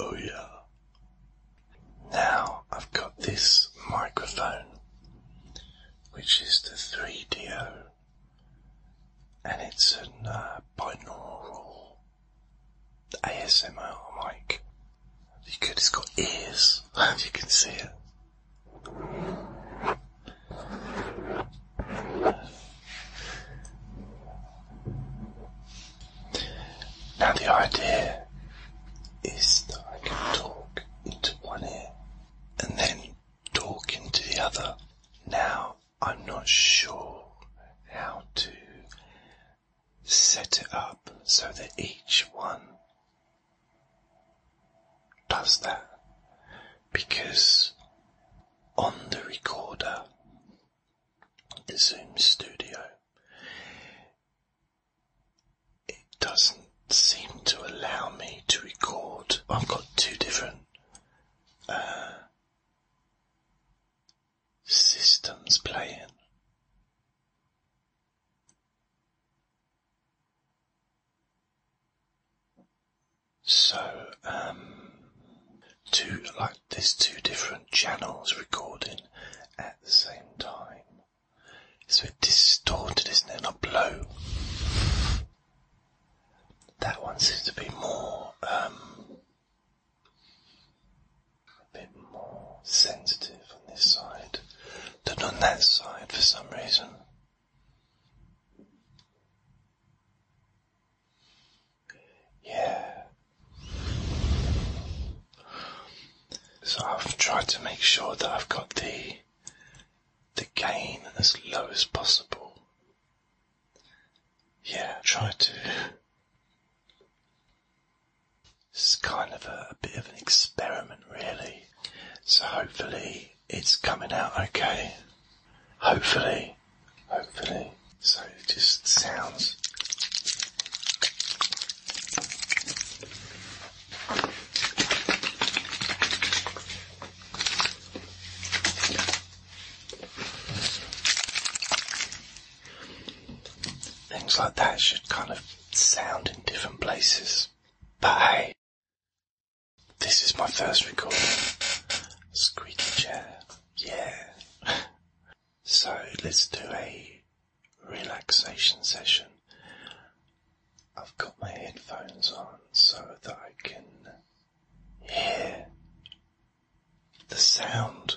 Oh, yeah. Now I've got this microphone, which is the 3 d and it's uh, a binaural ASMR mic. Could, it's got ears, and you can see it. Now the idea is that I can talk into one ear and then talk into the other. Now I'm not sure how to set it up so that each one does that because on the recorder Zoom Studio. It doesn't seem to allow me to record. I've got two different uh, systems playing. So, um, two, like there's two different channels recording at the same time. It's a bit distorted, isn't it? Not blue. That one seems to be more, um, a bit more sensitive on this side than on that side for some reason. Yeah. So I've tried to make sure that I've got the the gain as low as possible. Yeah, try to. It's kind of a bit of an experiment, really. So hopefully it's coming out okay. Hopefully. Hopefully, so it just sounds. Things like that should kind of sound in different places. But hey, this is my first recording. Squeaky chair. Yeah. so let's do a relaxation session. I've got my headphones on so that I can hear the sound.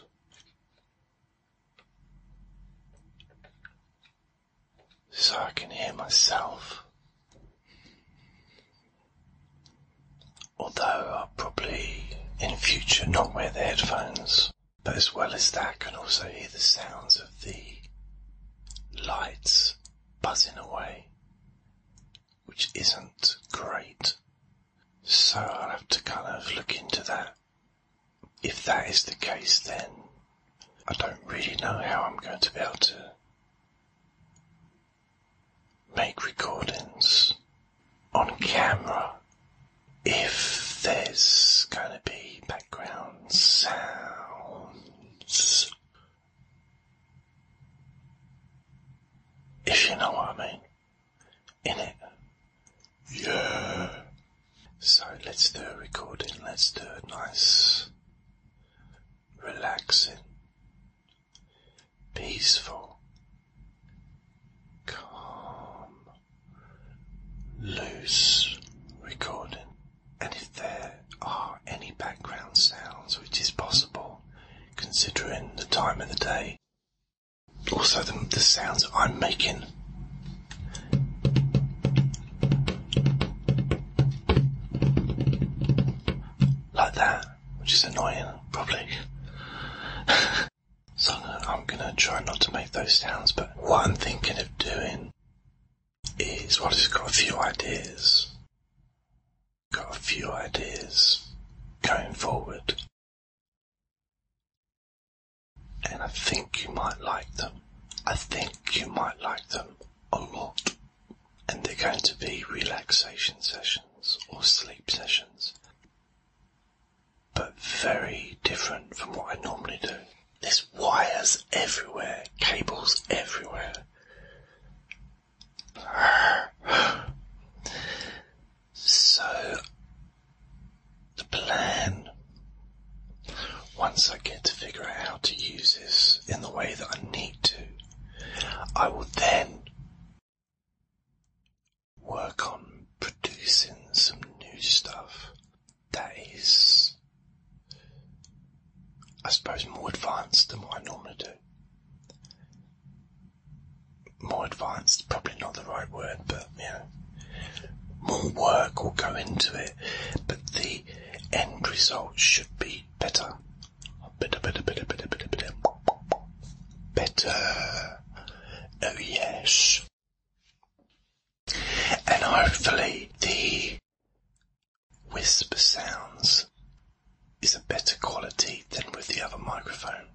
So I can hear myself. Although I'll uh, probably in future not wear the headphones, but as well as that, I can also hear the sounds of the lights buzzing away, which isn't great. So I'll have to kind of look into that. If that is the case, then I don't really know how I'm going to be able to make recordings on camera if there's going to be background sounds. If you know what I mean. In it. Yeah. So let's do a recording. Let's do a nice, relaxing peaceful, calm, loose recording. And if there are any background sounds, which is possible considering the time of the day, also the, sounds I'm making. Like that which is annoying, probably. so I'm gonna, try not to make those sounds, but what I'm thinking of doing is, well, I've got a few ideas. Got a few ideas going forward. And I think you might like them. I think you might like them a lot and they're going to be relaxation sessions or sleep sessions, but very different from what I normally do. There's wires everywhere, cables everywhere. So, the plan, once I get to figure out how to use this in the way that I need to, I will then work on producing some new stuff that is, I suppose, more advanced than what I normally do. More advanced, probably not the right word, but you know, more work will go into it, but the end result should be better. Better, better, better, better, better, better. Oh yes. And hopefully the whisper sounds is a better quality than with the other microphone.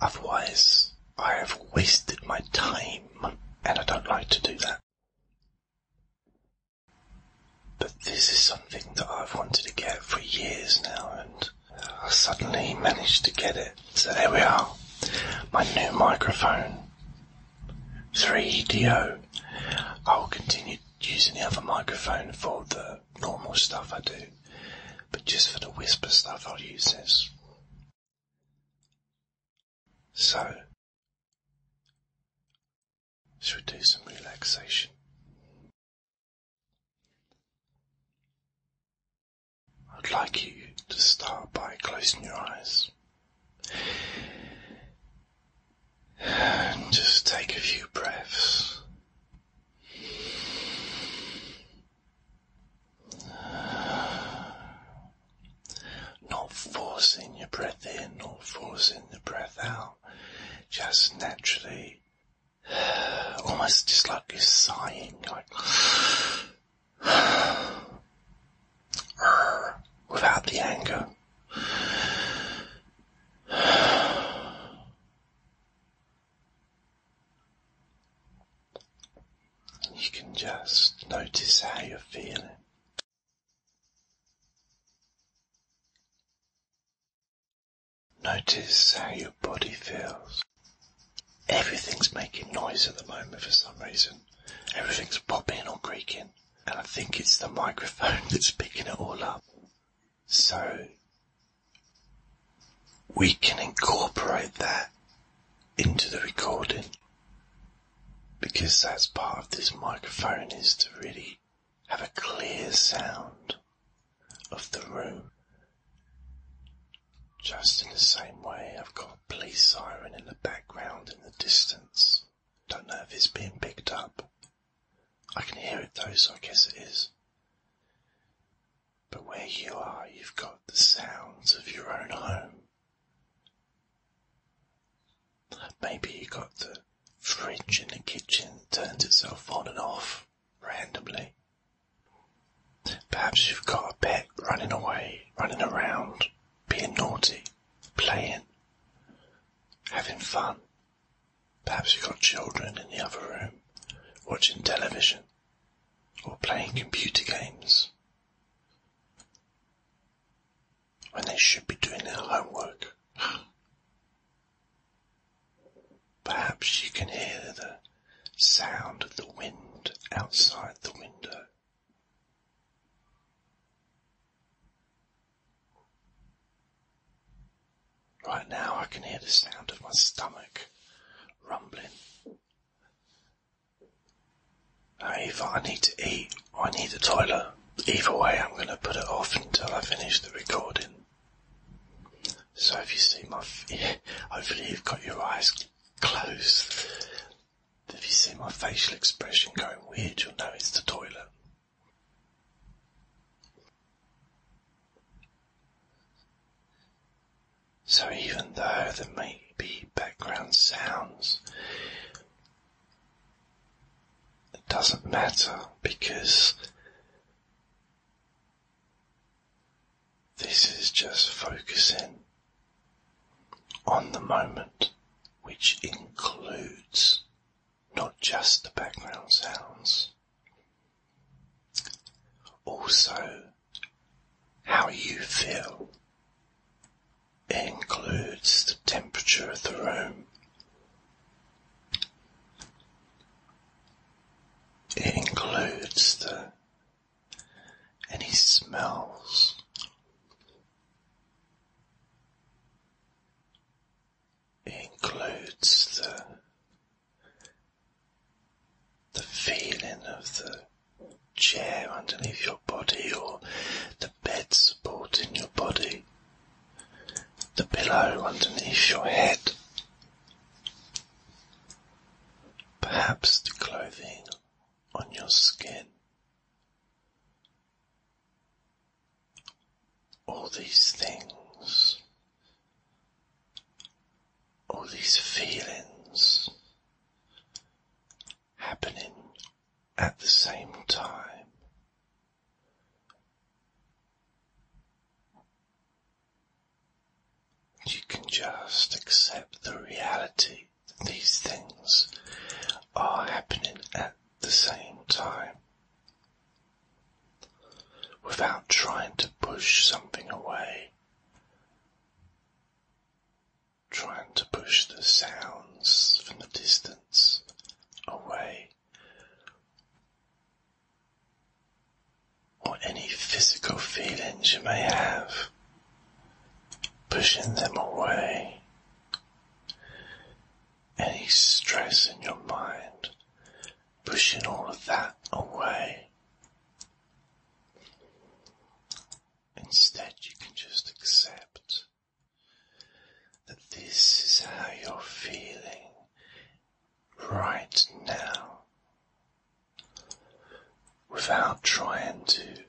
Otherwise, I have wasted my time and I don't like to do that. But this is something that I've wanted to get for years now, and I suddenly managed to get it. So there we are, my new microphone 3 O. I will continue using the other microphone for the normal stuff I do, but just for the whisper stuff, I'll use this. So, should do some relaxation. I'd like you to start by closing your eyes just take a few breaths not forcing your breath in, not forcing the breath out, just naturally, almost just like you're sighing, like, without the anger. You can just notice how you're feeling. Notice how your body feels. Everything's making noise at the moment for some reason. Everything's popping or creaking, and I think it's the microphone that's picking it all up. So, we can incorporate that into the recording because that's part of this microphone is to really have a clear sound of the room. Just in the same way, I've got a police siren in the background in the distance. Don't know if it's being picked up. I can hear it though, so I guess it is. But where you are, you've got the sounds of your own home Maybe you've got the fridge in the kitchen turns itself on and off randomly. Perhaps you've got a pet running away, running around, being naughty, playing, having fun. Perhaps you've got children in the other room watching television or playing computer games when they should be doing their homework. Perhaps you can hear the sound of the wind outside the window. Right now I can hear the sound of my stomach rumbling Either I need to eat I need the toilet. Either way, I'm going to put it off until I finish the recording. So if you see my, hopefully you've got your eyes closed. If you see my facial expression going weird, you'll know it's the toilet. So even though there may be background sounds, it doesn't matter because this is just focusing on the moment, which includes not just the background sounds, also how you feel. It includes the temperature of the room. It includes the any smells. It includes the the feeling of the chair underneath your body or the bed supporting your body, the pillow underneath your head, perhaps the clothing on your skin. All these things, all these feelings happening at the same time. You can just accept the reality that these things are happening at the same time without trying to push something away trying to push the sounds from the distance away, or any physical feelings you may have, pushing them away. Any stress in your mind, pushing all of that away. Instead, you can just accept that this is how you're feeling right now without trying to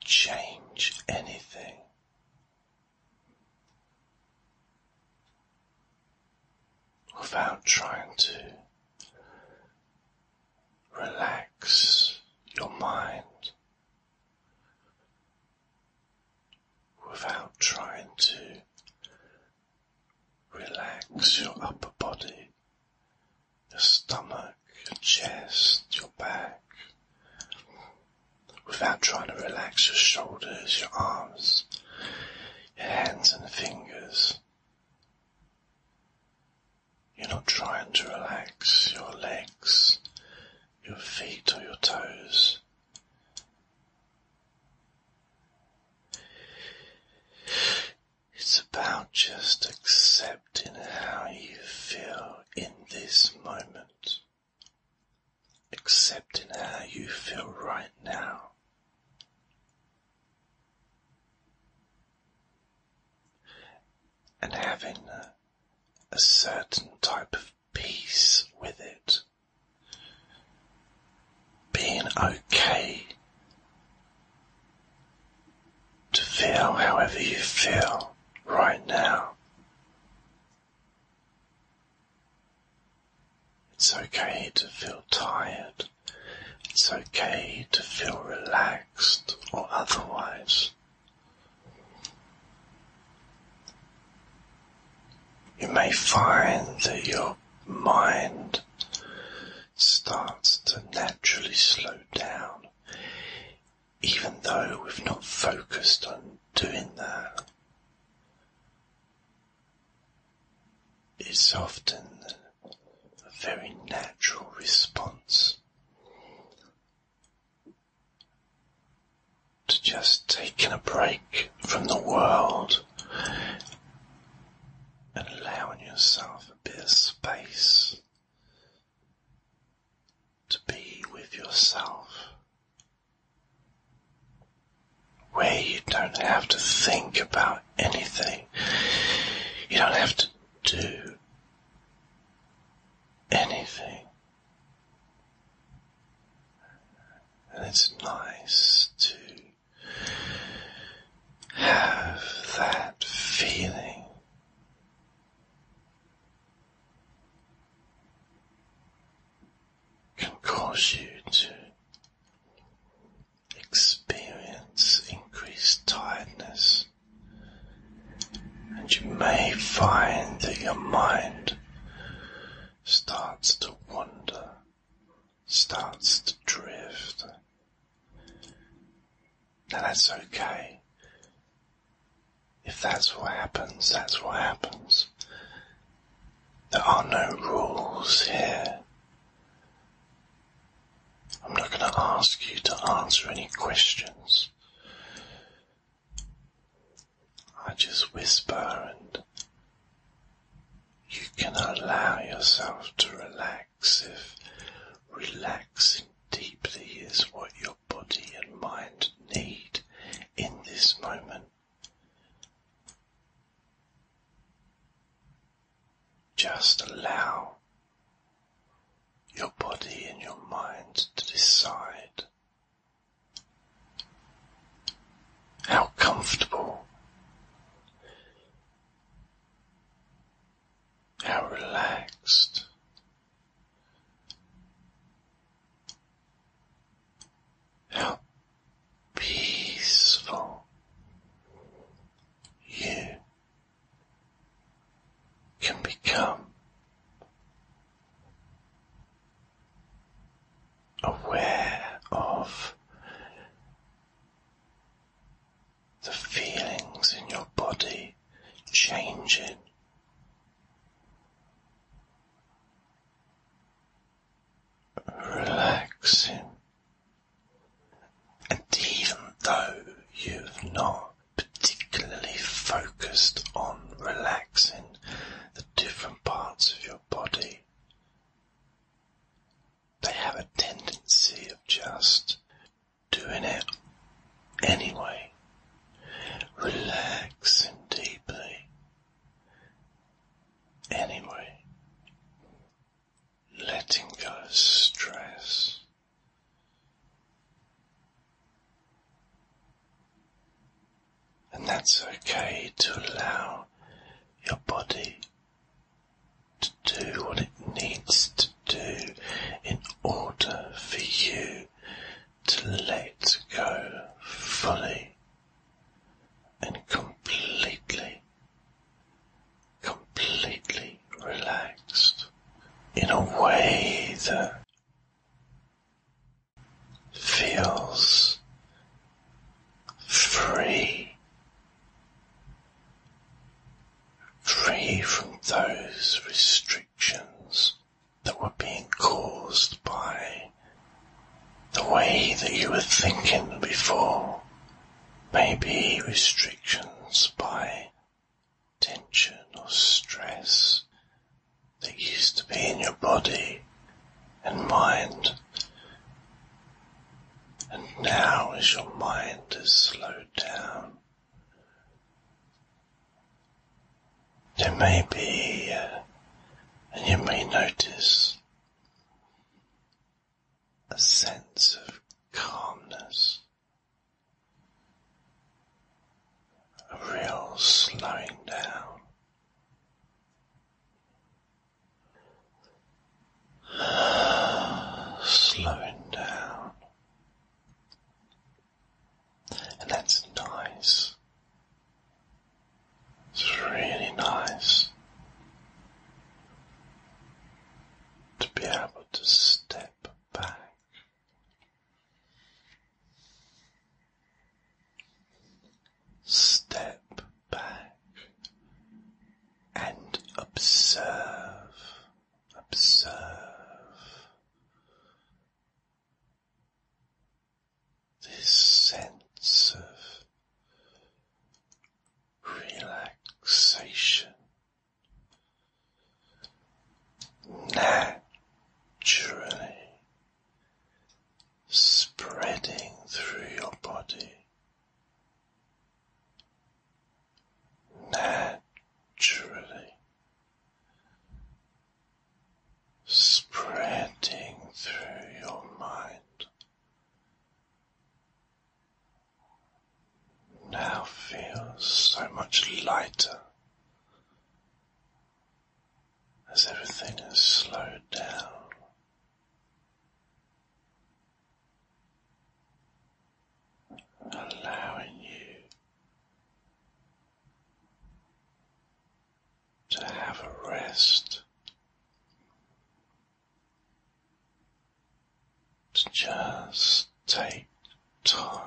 change anything without trying to relax your mind, without trying to relax your upper body, your stomach, your chest, your back. Without trying to relax your shoulders, your arms, your hands and fingers, you're not trying to relax your legs, your feet, or your toes. It's about just accepting how you feel in this moment, accepting how you feel right now and having a, certain type of peace with it, being okay to feel however you feel right now. It's okay to feel tired. It's okay to feel relaxed or otherwise. You may find that your mind starts to naturally slow down, even though we've not focused on doing that is often a very natural response to just taking a break from the world and allowing yourself a bit of space to be with yourself where you don't have to think about anything. You don't have to do anything. And it's nice to have that feeling can cause you to experience increased tiredness, and you may find that your mind starts to wander, starts to drift. Now that's okay. If that's what happens, that's what happens. There are no rules here. I'm not going to ask you to answer any questions. I just whisper and you can allow yourself to relax if relaxing deeply is what your body and mind need in this moment. Just allow your body and your mind to decide how comfortable, how relaxed, how peaceful you can become aware of the feelings in your body changing relaxing. And even though you've not particularly focused on relaxing the different parts of your body, they have a tendency of just doing it anyway. Relaxing deeply Anyway, letting go of stress. And that's okay to allow your body to do what it needs to do in order for you to let go fully and completely, completely relaxed in a way that feels free, free from those restrictions that were being caused by the way that you were thinking before. Maybe restrictions by tension or stress that used to be in your body and mind. And now, as your mind is slowed down, there may be, uh, and you may notice, a sense of calmness, a real slowing down. Slowing down, and that's nice. It's really nice to be able to step back. Step back and observe, observe, this sense of relaxation naturally spreading through your body. Naturally spreading through your mind. Now feels so much lighter as everything is slowed down. Allowing you to have a rest, to just take time.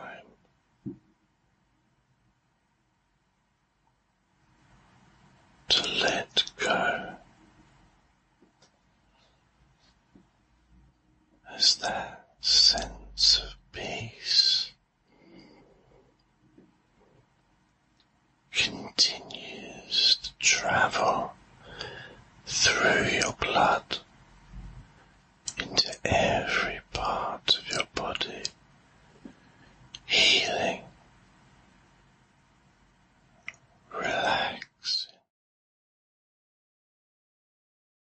To let go as that sense of peace continues to travel through your blood into every part of your body, healing, relaxing.